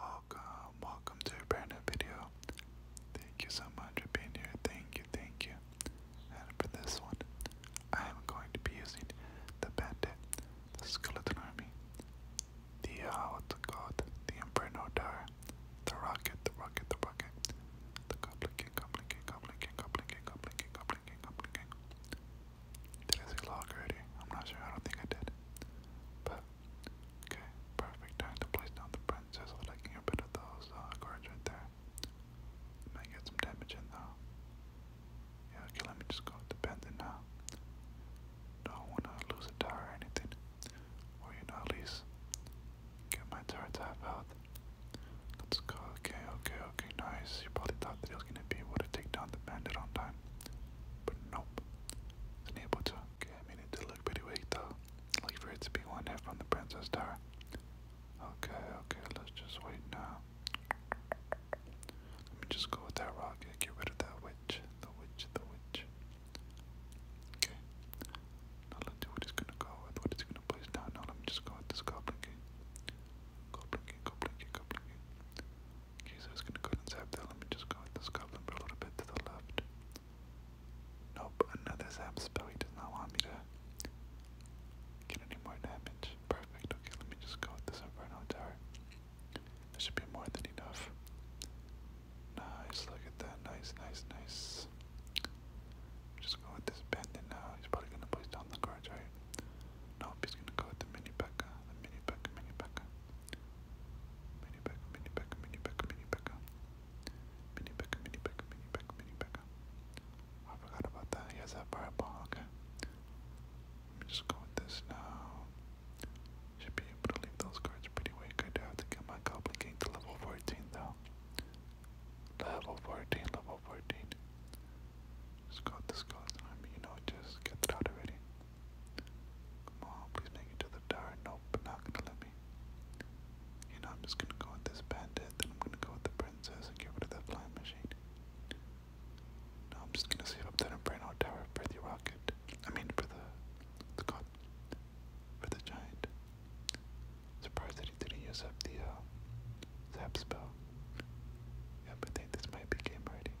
Welcome, welcome to a brand new video. Thank you so much for being here. Thank you, thank you. And for this one, I am going to be using the Bandit, the Skeleton Army, the uh, what's The Inferno Tower, the Rocket, the Rocket, the Rocket, the Goblin King, Goblin King, Goblin King, Goblin King, Goblin King, Goblin Did I say log already? I'm not sure. I don't think I did. But Okay, perfect. Time to place down the princess, so that I of those uh, right there. Might get some damage in though. Yeah, okay, let me just go with the pendant now. Don't wanna lose a tower or anything. Or at least get my tower to health. Let's go, okay, okay, okay, nice. You probably thought that he was gonna be able to take down the bandit on time. But nope. Wasn't Okay, I mean it to look pretty weak though. Like for it to be one half from the Princess Tower. Okay, okay, let's just wait now. Let me just go with that rocket, get rid of that witch, the witch, the witch. Okay. Now let's gonna go with, gonna place down. No, let me just go with this goblin king. Goblin king, Okay, so I was gonna go inside there. Let me just go with this goblin for a little bit to the left. Nope, another zap spell. He does not want me to get any more damage. Perfect. Okay, let me just go with this Inferno Tower. That should be more than enough. Nice, look at that. Nice, nice, nice. Just go with this bandit now. He's probably gonna place down the guards, right? Nope, he's gonna go with the mini Becca. The mini Becca, mini Becca. Mini Becca, Mini Becca, Mini Becca, Mini Becca. Mini Becca, Mini Becca, Mini Becca, Mini Becca. I forgot about that. He has that fireball, okay. Let me just go with this now. Should be able to leave those cards pretty weak. I do have to get my Goblin King to level 14 though. Level 14, level 14. Just got with this I Army, you know, just get that out of already. Come please make it to the tower. Nope, not gonna let me. You know, I'm just gonna go with this bandit, then I'm gonna go with the princess and get rid of that flying machine. No, I'm just gonna save up that Inferno Tower of the rocket. I mean, for the. the god. For the giant. Surprised that he didn't use up the, zap uh, spell. Yep, I think this might be game already.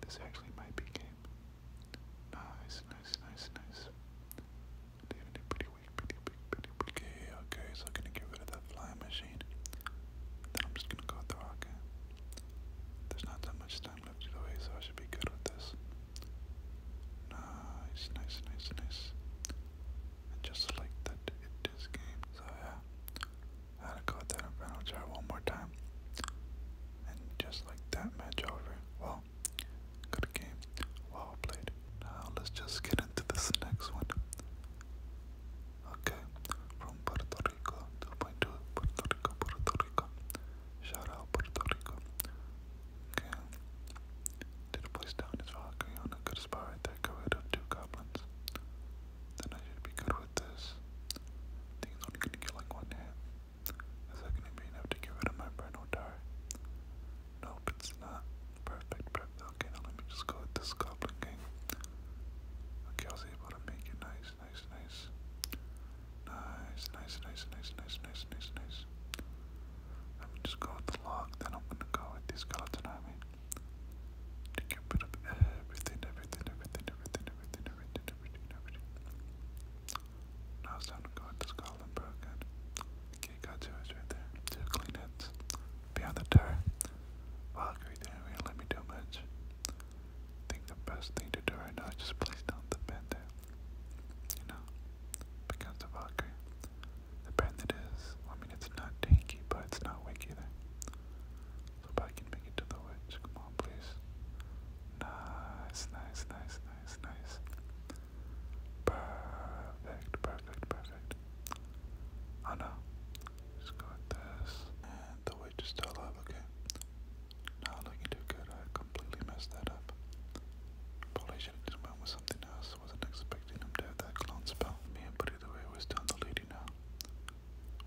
This actually might be game. Nice, nice, nice, nice. David did pretty weak, pretty big, pretty Okay, okay, so I'm gonna get rid of that flying machine. Then I'm just gonna go with the rocket. There's not that much time left either so I should be good with this. Nice, nice, nice, nice. And just like that, it is game. So yeah, Gotta go with that Inferno Jar one more time. And just like that, match over. Well, good game. Well played. Now let's just get into this next one. Okay, from Puerto Rico, 2.2, Puerto Rico, Puerto Rico. Shout out Puerto Rico. Okay, did a place down his rock good spot right there, got two goblins then I should be good with this. think it's only gonna get like one hit. Is that gonna be enough to get rid of my Breno Dar? Nope, it's not. Perfect, perfect. Okay, now let me just go with this Goblin King. Okay, I was able to make it nice, nice, nice. Nice, nice, nice, nice, nice, nice, nice, Let me just go with the log, then I'm gonna go with these skeleton army. get rid of everything, everything, everything, everything, everything, everything, now it's time to go into Scotland for Okay, got two eyes right there. Two clean hits. Beyond the tower. Valkyrie didn't really let me do much. I think the best thing to do right now is just place down the bandit. You know? Because the Valkyrie. The bandit is, I mean, it's not tanky, but it's not weak either. Hope I can make it to the witch. Come on, please. Nice, nice, nice, nice, nice. Perfect, perfect, perfect. Oh no. Just go with this. And the witch is still alive, okay. Not looking too good. I completely messed that up. Probably should have just went with something else. I wasn't expecting him to have that clone spell. Me and Buddy the Way was down the lady now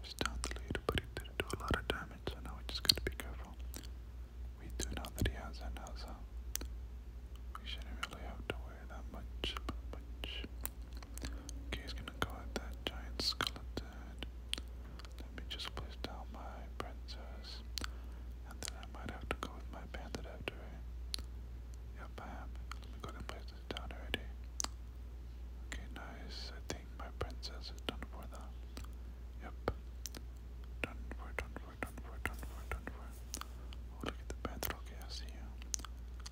was down the lead, but he did do a lot of damage, so now we just gotta be careful. We do know that he has it now, so we shouldn't really have to worry that much. much. Okay, he's gonna go at that giant skeleton. Let me just place down my princess. And then I might have to go with my bandit after it. Yep, I am. Let me go to place down already. Okay, nice. I think everything my princess is done for though. Yep. Done for, done for, done for, done for, done for. Oh, look at the panther. I see you.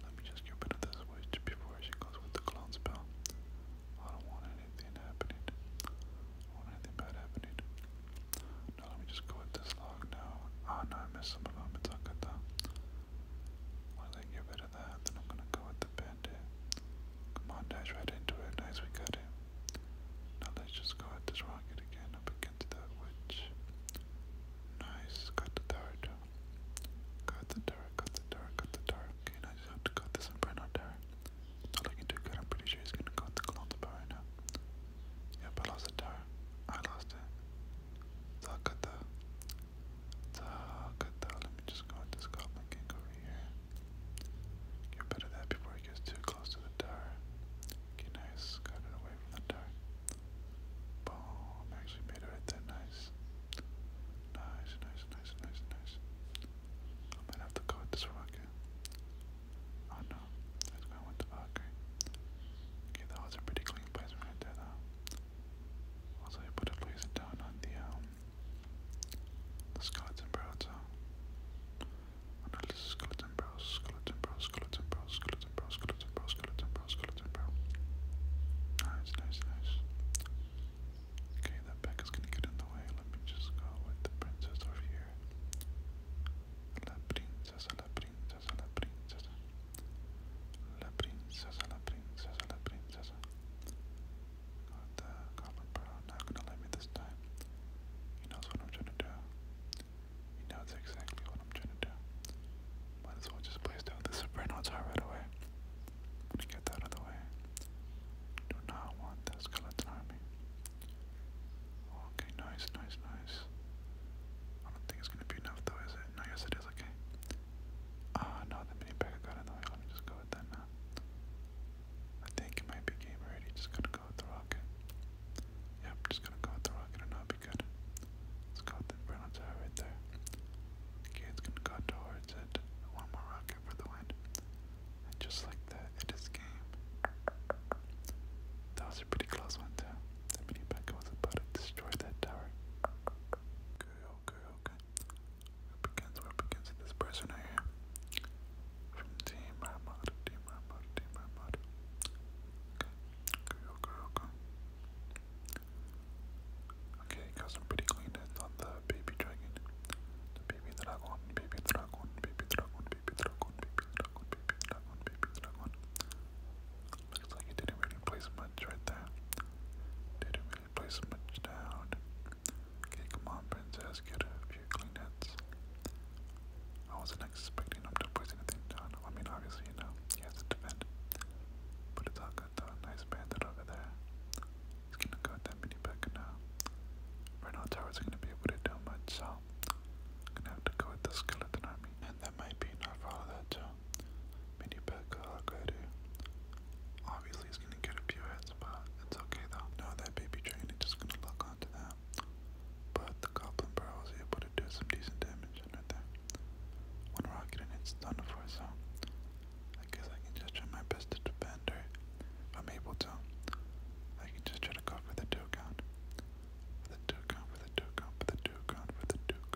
Let me just get rid of this witch before she goes with the clone spell. I don't want anything happening. want anything bad happening. Now let me just go with this log now. Ah, no, I missed some of them. It's okay though. Once I get rid of that, then I'm gonna go with the Come on, dive right into it. Nice, we got it. Now let's just go this rocket again up against that witch. Nice, got the turret. Got the turret, got the turret, got the turret. Okay, now I just have to cut this inferno turret. Not looking too good, I'm pretty sure he's gonna go the clones bar right now. Yep, I lost the turret. I lost it. So I cut the Oh, good though. Let me just go with this Goblin King over here. Get rid of before it gets too close to the tower. Okay, nice. Got it away from the tower. Boom. Actually made it right there. Nice. Nice, nice, nice, nice, nice. I might have to go with this rocket. Oh no. I was going with the Valkyrie. Okay, that was a pretty clean placement right there though. Also, I put a laser down on the um, the skeleton browser. Uh, Analysis skeleton brow, skeleton brow, skeleton brow, skeleton brow, skeleton brow, skeleton brow, Nice, nice, nice. Okay, that back is gonna get in the way. Let me just go with the princess over here. La princesa, la princesa, la princesa. La princesa, la princesa, la princesa. Got the Goblin Bro, not gonna let me this time. He knows what I'm trying to do. He knows exactly what I'm trying to do. Might as well just place down the Soprano Tower right away. gonna get that out of the way. Do not want that skeleton army. Okay, nice, nice, nice. I don't think it's gonna be enough though, is it? No, yes it is, okay. Ah, no, the mini pack got in the way. Let me just go with that now. I think it might be game ready. Just gonna go with the rocket. Yep, just gonna go with the rocket and I'll be good. Let's go with the Brennan right there. Okay, it's gonna go towards it. One more rocket for the win. And just like that, it is game. That was a pretty close one The mini pack was about to destroy that tower okay, okay. We're up against, we're up against this person right here. From Team Armada, Team Armada, Team Armada. Okay, okay, okay, okay. Okay, got some pretty clean hits on the baby dragon. The baby dragon, baby dragon, baby dragon, baby dragon, baby dragon, baby dragon, baby dragon. Looks like he didn't really place much right there. Didn't place much down. Okay, come on, princess, get a few clean I wasn't expecting him to place anything down. I mean, obviously, you know, he has to defend. But it's not good though. Nice bandit over there. He's gonna go with that many back now. Right now, towers are gonna be able to do much, so I'm gonna have to go with the skeleton army, and that might be enough follow of that too. Mini pet Guru. Obviously, he's gonna get a few hits, but it's okay though. No, that baby train is just gonna lock onto that. But the Goblin Burrow was able to do some decent damage under there. One rocket and it's done for, so I guess I can just try my best to defend her I'm able to. I can just try to go for the two count. the two count, for the two count, for the two count, for the two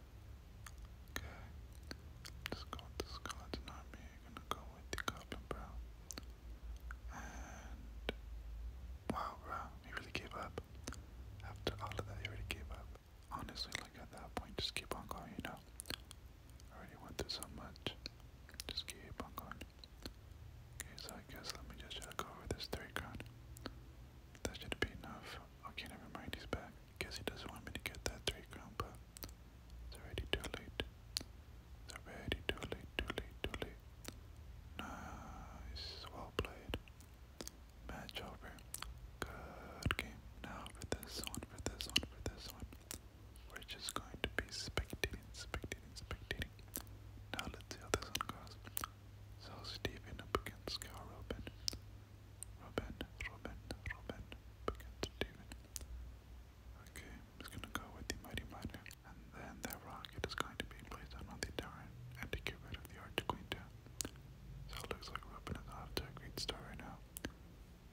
Okay. Let's go with the skeleton You're gonna go with the goblin, bro. And wow, bro, he really gave up. After all of that, he really gave up. Honestly, like at that point, just keep on going. You know, already went through so much. Just keep on going. Okay, so I guess let me just check over this three crown. That should be enough. Okay, never mind. He's back. Guess he doesn't want me to get that three crown, but it's already too late. It's already too late, too late, too late. Nice, well played. Match over. Good game. Now for this one, for this one, for this one. We're just going to be spectating, spectating, spectating. Now let's see how this one goes. So Steven up against Cal Robin, Robin, Robin, began Steven. Okay, I'm gonna go with the Mighty Miner. And then that rocket is going to be placed on the tower and to get rid of the Arch Queen too. So it looks like Robin is off a great start right now.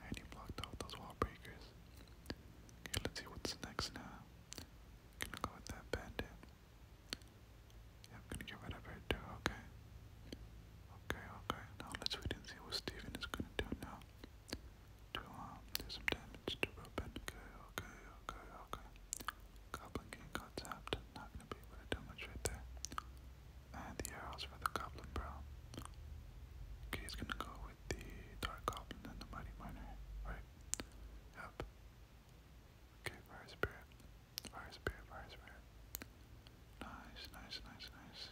And he blocked off those wall breakers. Okay, let's see what's next now. gonna go with that bandit. I'm gonna get rid of her too, okay. Okay, okay. Now let's wait and see what Steven is gonna do now. do um, some damage to Robin. Okay, okay, okay, okay. Goblin King got tapped. Not gonna be able to do much right there. And the arrows for the Goblin Brow. Okay, he's gonna go with the Dark Goblin and the Mighty Miner, right? Yep. Okay, Fire Spirit. Fire Spirit, Fire Spirit. Nice, nice, nice, nice.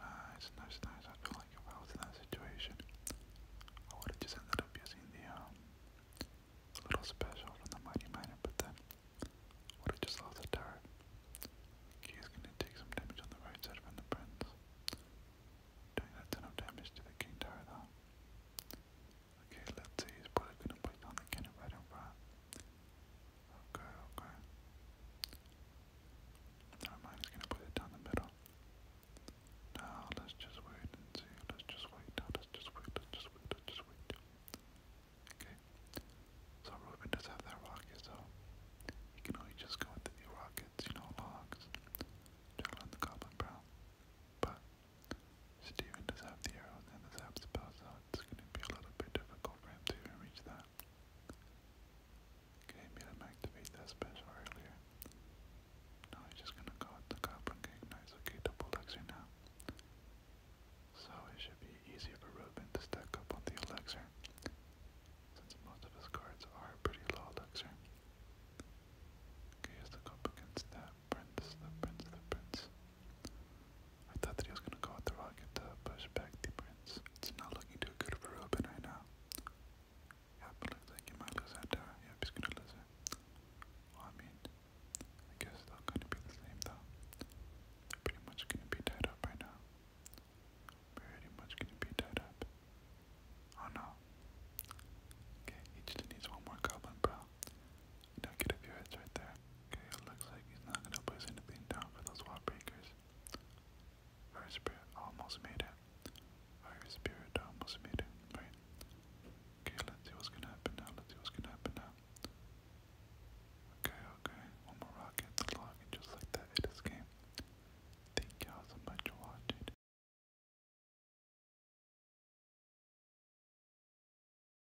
Nice, nice, nice. I feel like if I was in that situation, I would have just up using the um, little special from the Mighty Miner, but then would have just lost the turret. He's gonna take some damage on the right side from the Prince. Doing that ton of damage to the King Tower though. Okay, let's see, he's probably gonna put down the cannon right in front. Okay, okay. Never mind, gonna put it down the middle. Now let's just wait and see. Let's just wait. let's just wait. Let's just wait. Let's just wait. Okay. So Ruben does have that rocket, so he can only just go the new rockets, you know, logs, juggling the goblin brown. But Steven does have the arrows and the zap spell, it's going to be a little bit difficult for him to reach that. Okay, made him activate that special earlier. Now he's just going to go with the Goblin King. Nice, okay, double elixir now. So it should be easy for Ruben to stack up on the elixir, since most of his cards are pretty low elixir. Okay, here's the Goblin against that Prince, the Prince, the Prince. I thought that he was going to go with the rocket to push back the prince. It's not looking too good for Ruben right now. Yep, looks like he might lose that Yep, he's going to lose it. I mean, I guess they're going to be the same, though. They're pretty much going to be tied up right now. Pretty much going to be tied up. Oh, no. Okay, he just needs one more goblin, bro. Don't get a few hits right there. Okay, it looks like he's not gonna place anything down for those wall breakers. Fire spirit almost made it. Fire spirit almost made it, right? Okay, let's see what's gonna happen now. Let's see what's gonna happen now. Okay, okay. One more rocket to and just like that it is game. Thank y'all so much for watching.